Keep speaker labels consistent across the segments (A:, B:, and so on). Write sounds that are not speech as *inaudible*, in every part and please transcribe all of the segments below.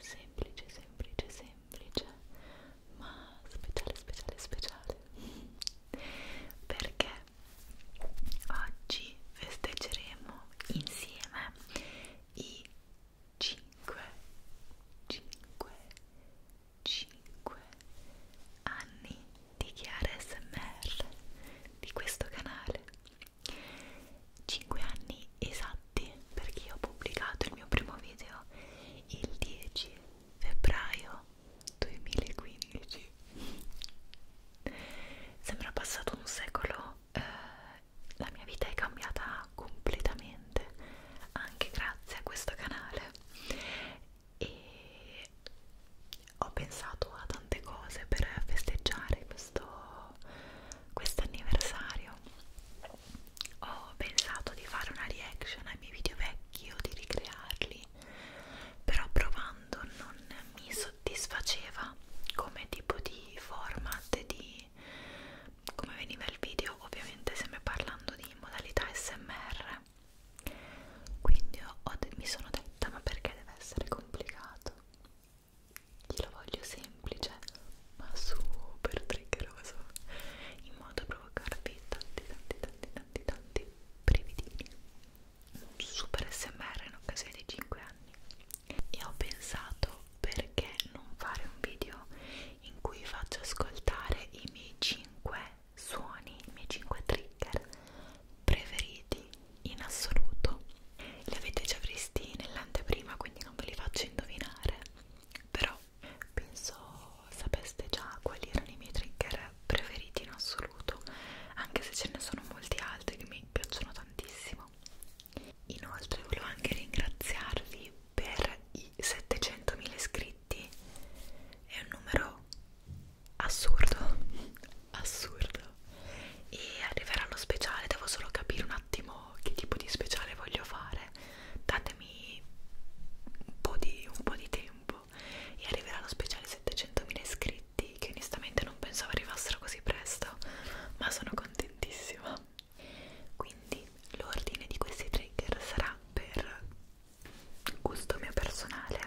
A: semplice, semplice, semplice, ma speciale, speciale, speciale perché oggi festeggeremo insieme i 5, 5, 5 anni di Chiara SMR di questo canale 5 anni esatti infatti perché ho pubblicato il mio primo video il 10 febbraio 2015 sembra passato un secolo eh, la mia vita è cambiata completamente anche grazie a questo canale e ho pensato a tante cose per festeggiare questo quest anniversario ho pensato di fare una reaction ai miei video vecchi o di ricrearli però provando non mi soddisfaceva come tipo di format di come veniva il video ovviamente sempre parlando di modalità smr quindi ho mi sono detta ma perché deve essere complicato io lo voglio semplice ma super triggeroso in modo da provocarvi tanti tanti tanti tanti tanti brividini un super smr in occasione dei 5 anni e ho pensato perché non fare un video in cui faccio ascoltare i miei 5 suoni, i miei 5 trigger preferiti in assoluto li avete già visti nell'anteprima quindi non ve li faccio indovinare però penso sapeste già quali erano i miei trigger preferiti in assoluto anche se ce ne sono molti altri che mi piacciono tantissimo inoltre volevo anche ringraziarvi per i 700.000 iscritti è un numero assurdo *laughs* assurdo e arriverà lo speciale devo solo capire un attimo che tipo di speciale voglio fare datemi un po' di, un po di tempo e arriverà lo speciale 700.000 iscritti che onestamente non pensavo arrivassero così presto ma sono contentissima quindi l'ordine di questi trigger sarà per gusto mio personale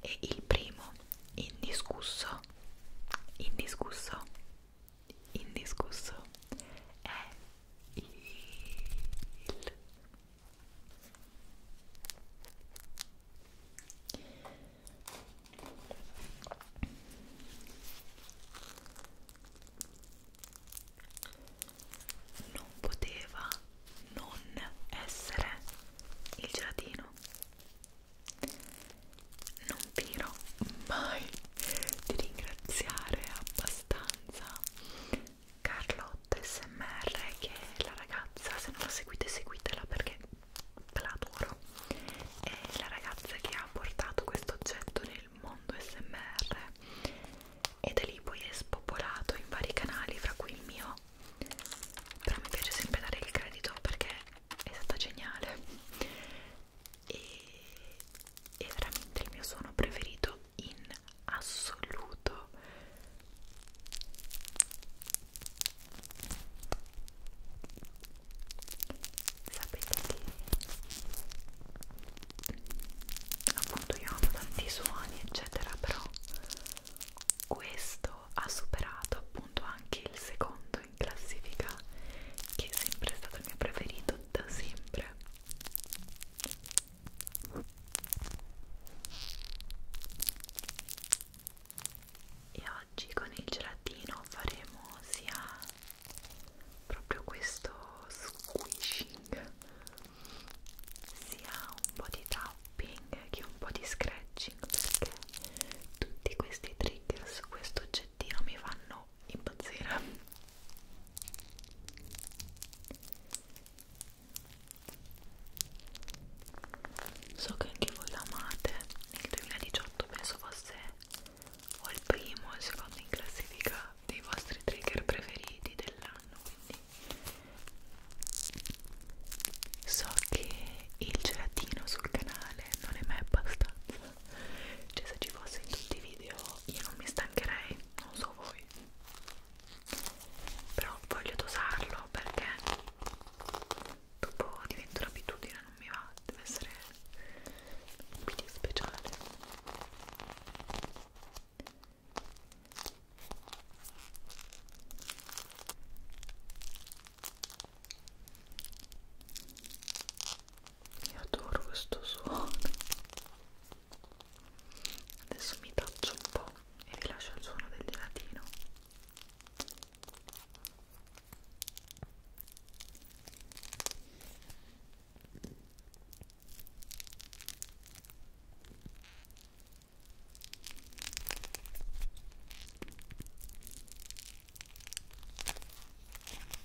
A: e il primo indiscusso indiscusso indiscusso è il non poteva non essere il gelatino non tiro mai di ringraziare abbastanza Carlotta SMR che è la ragazza, se non la seguite seguitela perché la adoro è la ragazza che ha portato questo oggetto nel mondo SMR e da lì poi è spopolato in vari canali fra cui il mio però mi piace sempre dare il credito perché è stata geniale e è veramente il mio suono preferito in assoluto sapete che mm, appunto io amo tanti suoni eccetera però questo ha superato appunto anche il secondo in classifica che è sempre stato il mio preferito da sempre e oggi con il gelatino faremo sia proprio questo squishing sia un po' di tapping che un po' di scratching perché tutti questi trigger su questo oggettino mi fanno impazzire So che anche voi l'amate, nel 2018 penso fosse o il primo o il secondo in classifica dei vostri trigger preferiti dell'anno, quindi so che il gelatino sul canale non è mai abbastanza, cioè se ci fosse in tutti i video io non mi stancherei, non so voi però voglio dosarlo perché dopo diventa un'abitudine, non mi va, deve essere un video speciale ok io adoro questo suono. Adesso mi taccio un po' e vi lascio il suono del gelatino.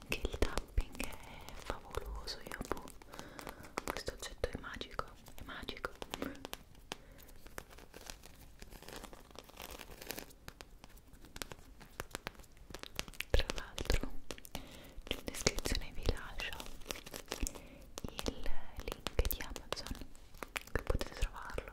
A: Anche il tapping è favoloso, io boh, questo oggetto è magico, è magico. Tra l'altro, in descrizione vi lascio il link di Amazon che potete trovarlo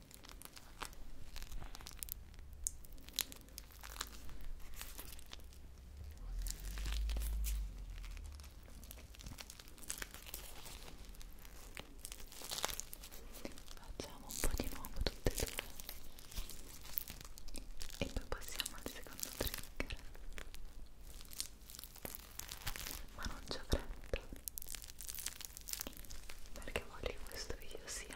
A: Facciamo un po' di nuovo tutte e due e poi passiamo al secondo trigger. Ma non c'è fretta perché voglio che questo video sia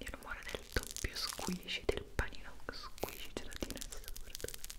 A: Il rumore del doppio squishy del panino squishy gelatina è assurdo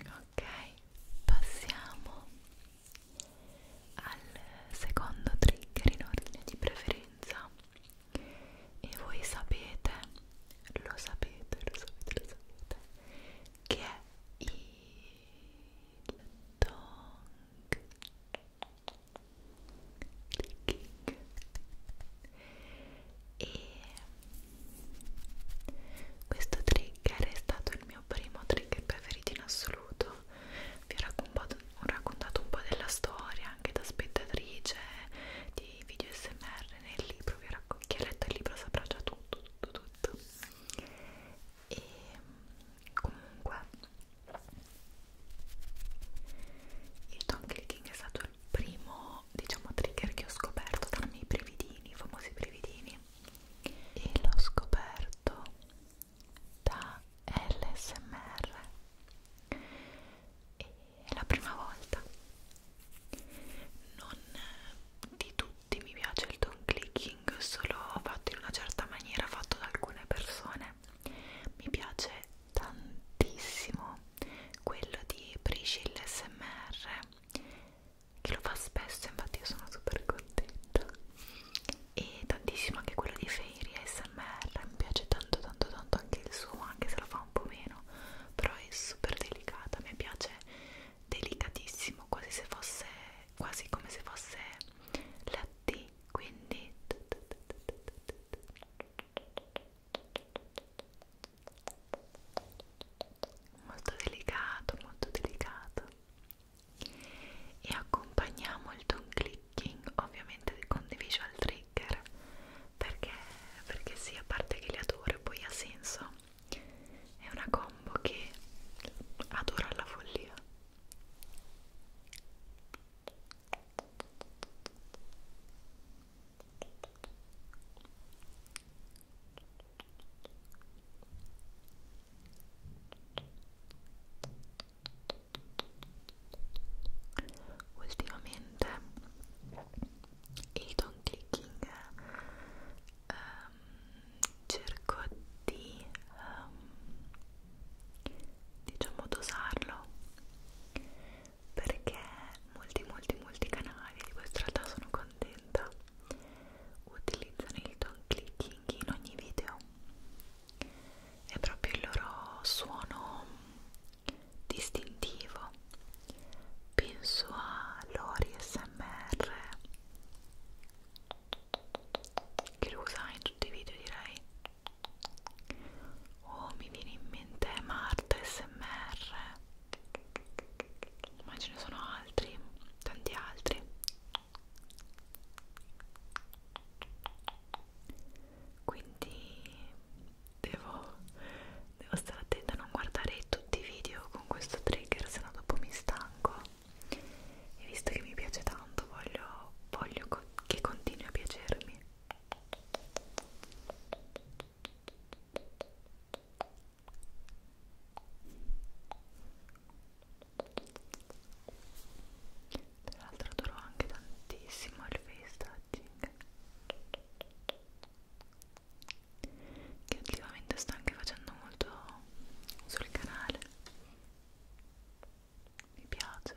A: Ok, passiamo al secondo trigger in ordine di preferenza e voi sapete, lo sapete, lo sapete, lo sapete che è il dong clicking e questo trigger è stato il mio primo trigger preferito in assoluto vi ho raccontato, ho raccontato un po' della storia anche da spettatrice di video smr nel libro vi ho che ha letto il libro saprà già tutto tutto tutto e comunque il tongue clicking è stato il primo diciamo trigger che ho scoperto tra i miei brividini, i famosi brividini e l'ho scoperto da LSMR e è la prima volta non di tutti mi piace il tongue clicking unboxing solo fatto in una certa maniera fatto da alcune persone mi piace tantissimo quello di Priscilla SMR che lo fa spesso infatti io sono super contenta e tantissimo anche quello di Fairy ASMR mi piace tanto tanto tanto anche il suo anche se lo fa un po' meno però è super delicata mi piace delicatissimo quasi se fosse quasi come se fosse latte quindi molto delicato molto delicato e accompagniamo il tone clicking ovviamente con dei visual trigger perché, perché sì a parte che li adoro poi ha senso è una combo che adoro alla follia Ultimamente il don clicking um, cerco di um, diciamo dosarlo perché molti molti molti canali di questa realtà sono contenta utilizzano il tone clicking in ogni video è proprio il loro suono distintivo penso a Lori SMR che lo usa in tutti i video direi oh mi viene in mente Marta SMR ma ce ne sono altri tanti altri quindi devo, devo stare attenta a non guardare tutti i video con questo trigger sennò dopo mi stanco e visto che mi piace tanto voglio, voglio co che continui a piacermi tra l'altro adoro anche tantissimo il face touching che ultimamente sto anche facendo molto sul canale mi piace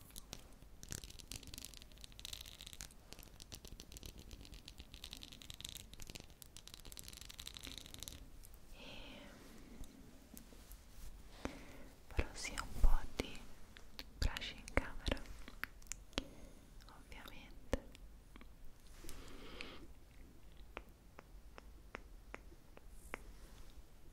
A: e farò sia un po' di brush in camera ovviamente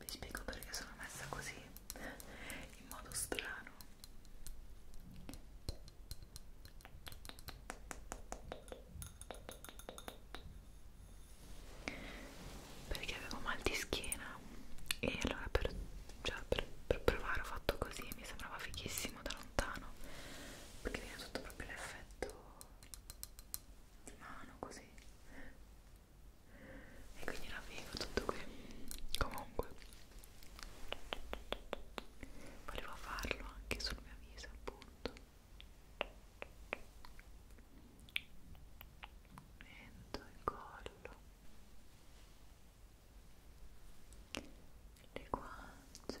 A: Vi spiego perché sono messa così in modo strano perché avevo mal di schiena e allora per, cioè per, per provare ho fatto così e mi sembrava fighissimo da lontano perché viene tutto proprio l'effetto di mano così e quindi era figo tutto qui comunque volevo farlo anche sul mio viso appunto mento e collo le guance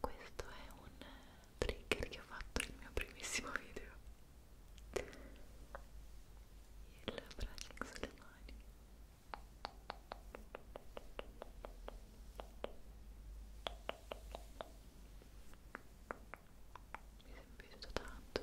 A: questo è un trigger che ho fatto nel mio primissimo video il brushing sulle mani mi è piaciuto tanto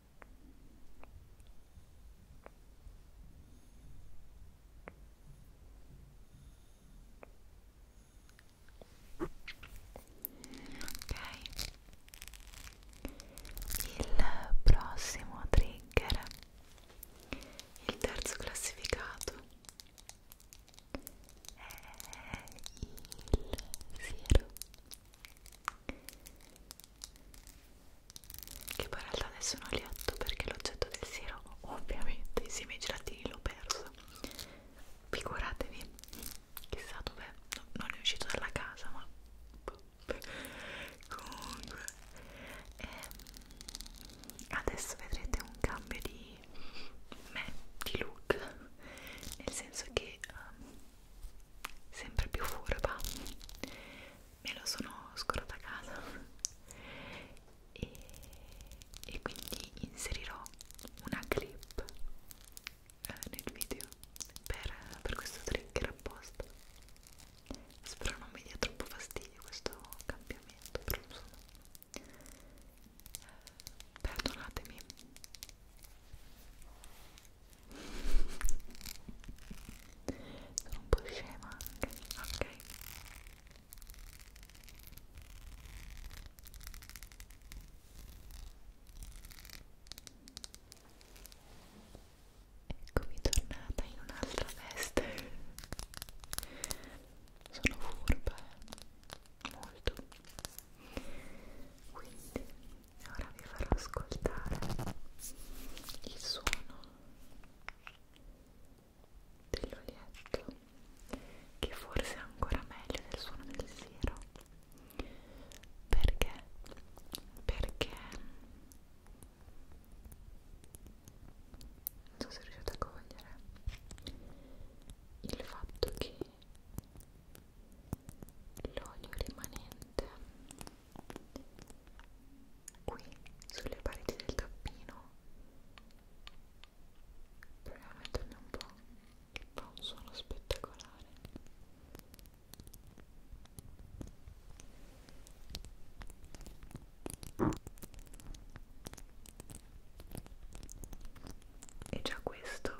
A: Ok, il prossimo trigger, il terzo classificato, è il siero che poi in realtà nessuno li ha letto perché l'oggetto del siero ovviamente insieme ai gelatini l'ho perso figuratevi chissà dov'è no, non è uscito dalla casa ma comunque e ehm, adesso vedrete un cambio di me di look nel senso che um, sempre più furba me lo sono scordato a casa e, e quindi inserirò una clip eh, nel video per, per questo trigger apposta spero non mi dia troppo fastidio questo cambiamento però insomma eh, perdonatemi sono un po' scema anche ok eccomi tornata in un'altra veste sono furba eh? molto quindi ora vi farò ascoltare il suono dell'olietto che forse è ancora meglio del suono del siero perché? perché non sono riuscita a cogliere il fatto che l'olio rimanente qui sulle pareti del tappino proviamo a metterne un po' che fa un suono spettacolare e già questo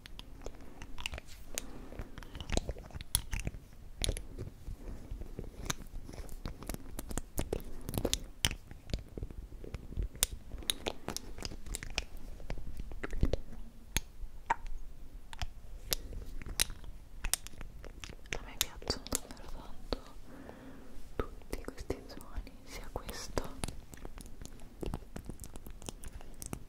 A: A me piacciono davvero tanto tutti questi suoni, sia questo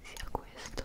A: sia questo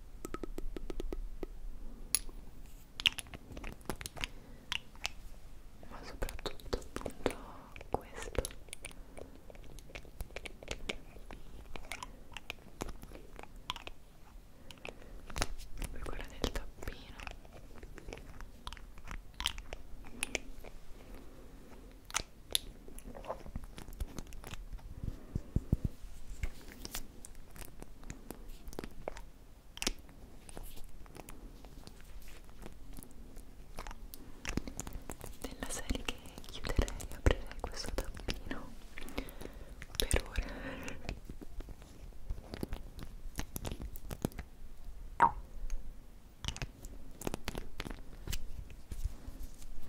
A: ma soprattutto appunto questo poi quella del tappino nella serie che chiuderei aprirei questo tappino per ora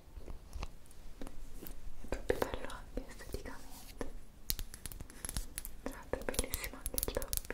A: è proprio bello anche esteticamente tra l'altro è bellissimo anche il topping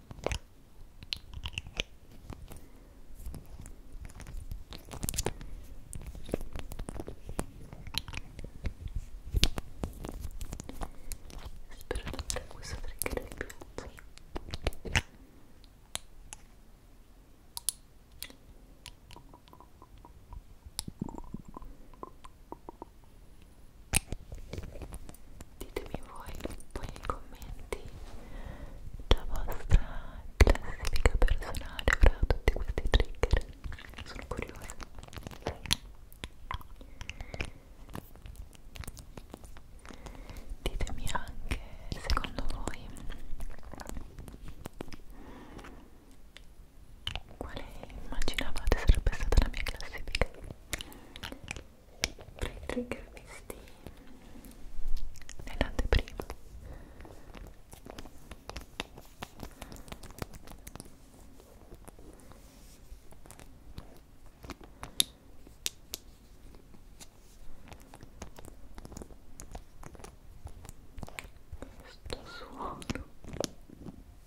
A: Spero di avere questo trigger più ditemi voi poi nei commenti la vostra classifica personale fra tutti questi trigger sono curiosa ditemi anche secondo voi quale immaginavate sarebbe stata la mia classifica tra i trigger visti nell'anteprima questo suono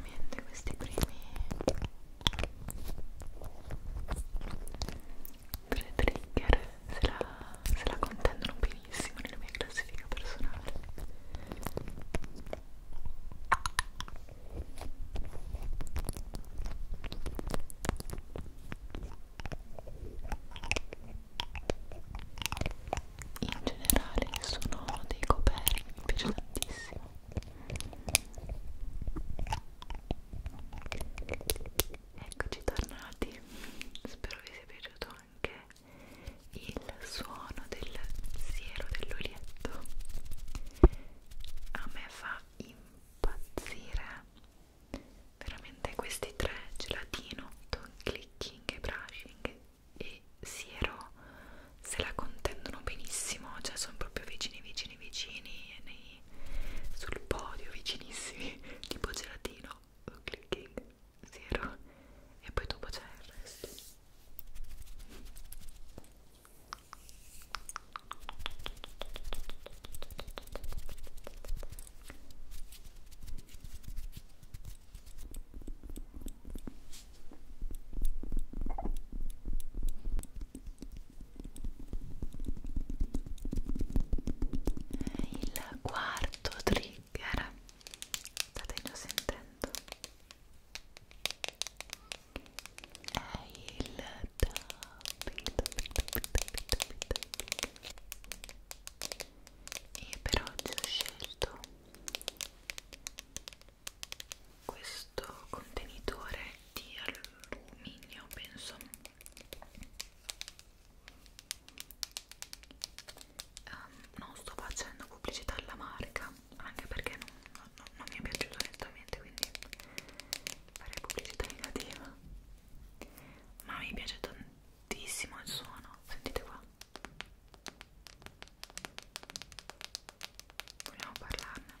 A: veramente questi primi tre trigger se la, se la contendono più primissimo nella mia classifica personale in generale sono dei coperti mi piace tantissimo eccoci tornati spero vi sia piaciuto anche il suono del siero dell'olietto a me fa impazzire veramente questi tre gelatino, tongue clicking e brushing e siero se la contendono benissimo cioè sono proprio vicini vicini vicini nei, sul podio vicinissimi *laughs* tipo gelatino o clicking zero e poi dopo c'è il resto il quarto trigger trigger state già sentendo è il tapping, tapping, tapping, tapping, tapping, tapping. e per oggi ho scelto questo contenitore di alluminio penso um, ehm, non sto facendo pubblicità alla marca anche perché non, non, non mi è piaciuto onestamente quindi farei pubblicità negativa ma mi piace tantissimo il suono sentite qua vogliamo parlarne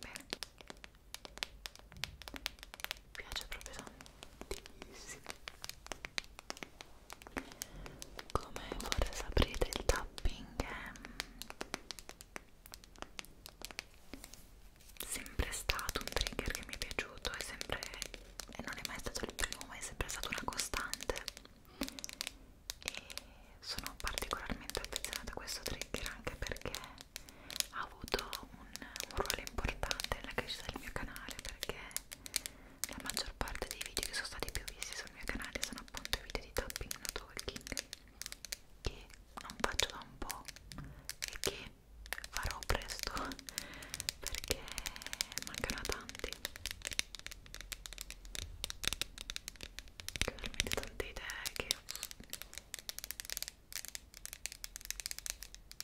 A: bene mi piace proprio tanto tantissimo come forse saprete il tapping è sempre stato un trigger che mi è piaciuto è sempre e non è mai stato il primo ma è sempre stata una costante e sono particolarmente affezionata a questo trigger anche perché ha avuto un, un ruolo importante nella crescita del mio canale perché la maggior parte dei video che sono stati più visti sul mio canale sono appunto i video di tapping and talking che non faccio da un po' e che farò presto perché mancano tanti veramente tante idee che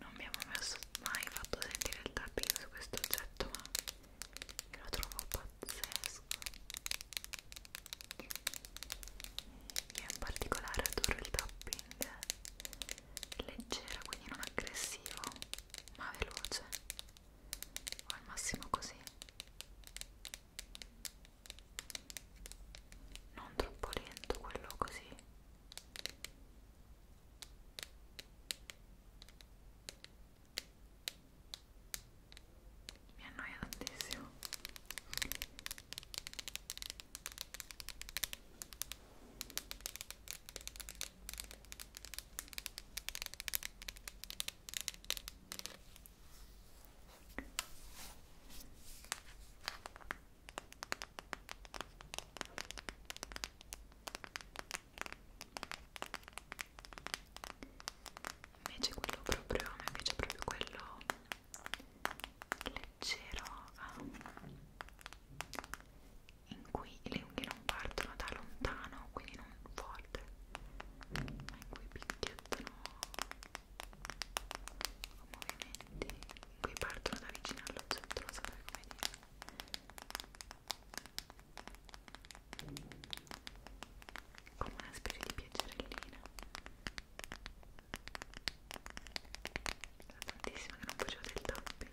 A: non mi avevo mai fatto sentire il tapping su questo oggetto ma io lo trovo pazzesco io in particolare adoro il tapping leggero quindi non aggressivo ma veloce o al massimo così non troppo lento quello così mi annoia tantissimo Invece quello proprio, mi piace proprio quello leggero ah, in cui le unghie non partono da lontano, quindi non non forte ma in cui picchiettano movimenti in cui partono da vicino allo centro, non saprei come dire come una specie di piacerellina era tantissimo che non facevo del tapping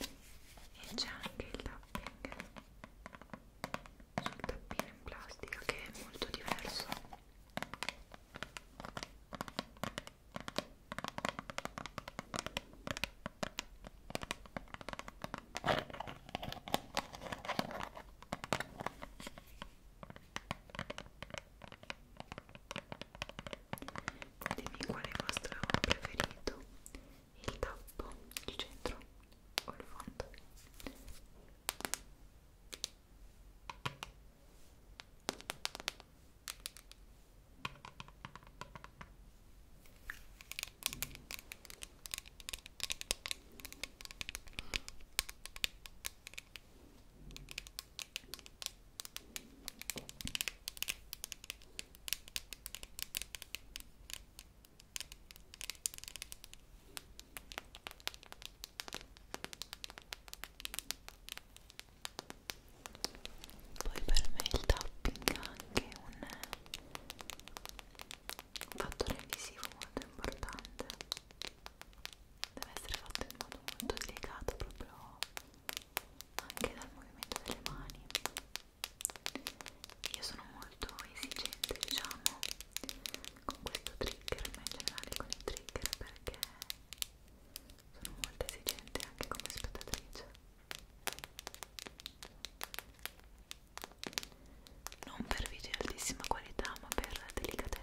A: e c'è anche il tapping sul tappino in plastica che è molto diverso Dimmi qual è il vostro preferito, il tappo, il centro o il fondo. Poi per me il tapping ha anche un, un fattore visivo molto importante. Deve essere fatto in modo molto delicato, proprio anche dal movimento delle mani io sono molto esigente diciamo con questo trigger ma in generale con i trigger perché sono molto esigente anche come spettatrice non per video di altissima qualità ma per delicatezza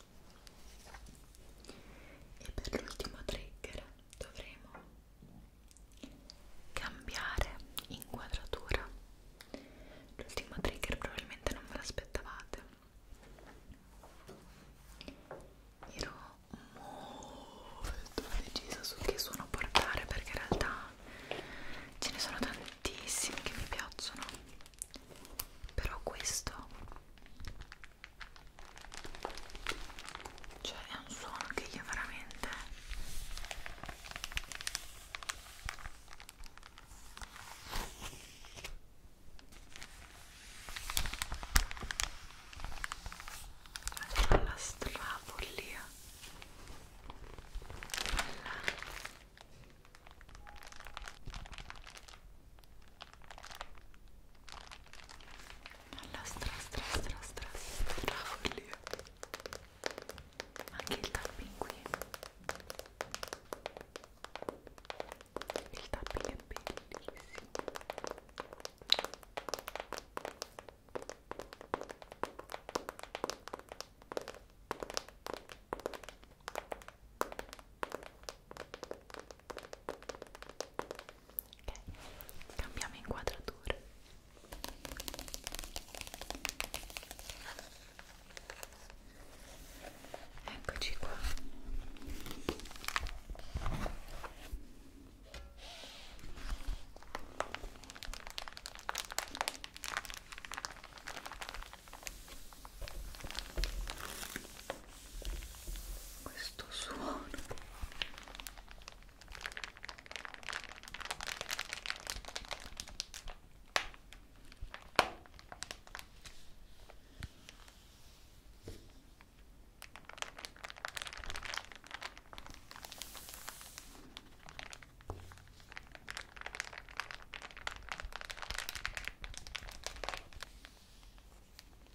A: e per l'ultimo trigger dovremo cambiare inquadratura l'ultimo trigger probabilmente non ve l'aspettavate ero molto decisa su che suono portare perché in realtà ce ne sono tantissimi che mi piacciono però questo cioè è un suono che io veramente cioè, la strafollia Bella alla stra stra stra stra stra follia anche il tapping qui il tapping è bellissimo ok, cambiamo inquadratura eccoci qua questo suono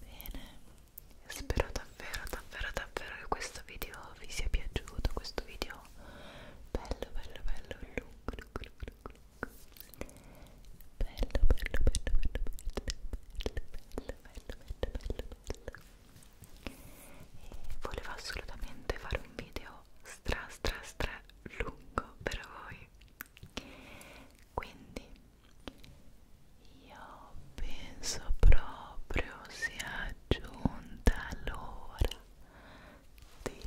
A: Bene, spero davvero davvero davvero che questo video vi sia piaciuto, questo video bello bello bello lungo lungo lungo bello, bello, bello, bello, bello, bello, bello, bello, bello. E volevo assolutamente fare un video stra stra stra lungo per voi quindi io penso proprio sia giunta l'ora di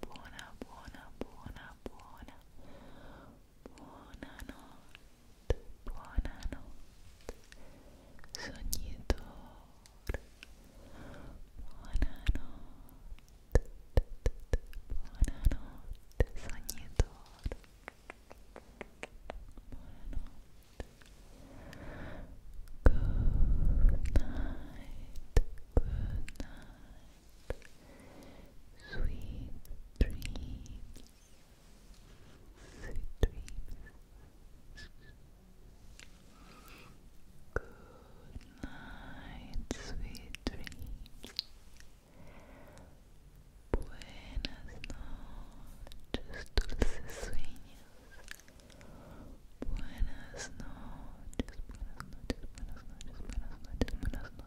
A: buona, buona, buona, buona, buonanotte, buonanotte, sognitore, buonanotte, buonanotte, sognitore, buonanotte, good night, good night. Sweet dreams. Sweet dreams. Good night, sweet dreams. Buenas noches, dulces sueños. Buenas noches, buenas noches, buenas noches, buenas noches, buenas noches.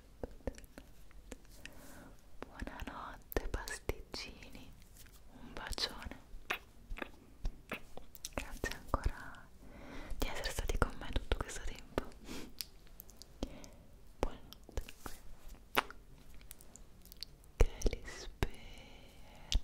A: Buonanotte pasticcini, un bacione. Grazie ancora di essere stati con me tutto questo tempo. Buonanotte. Che li spera.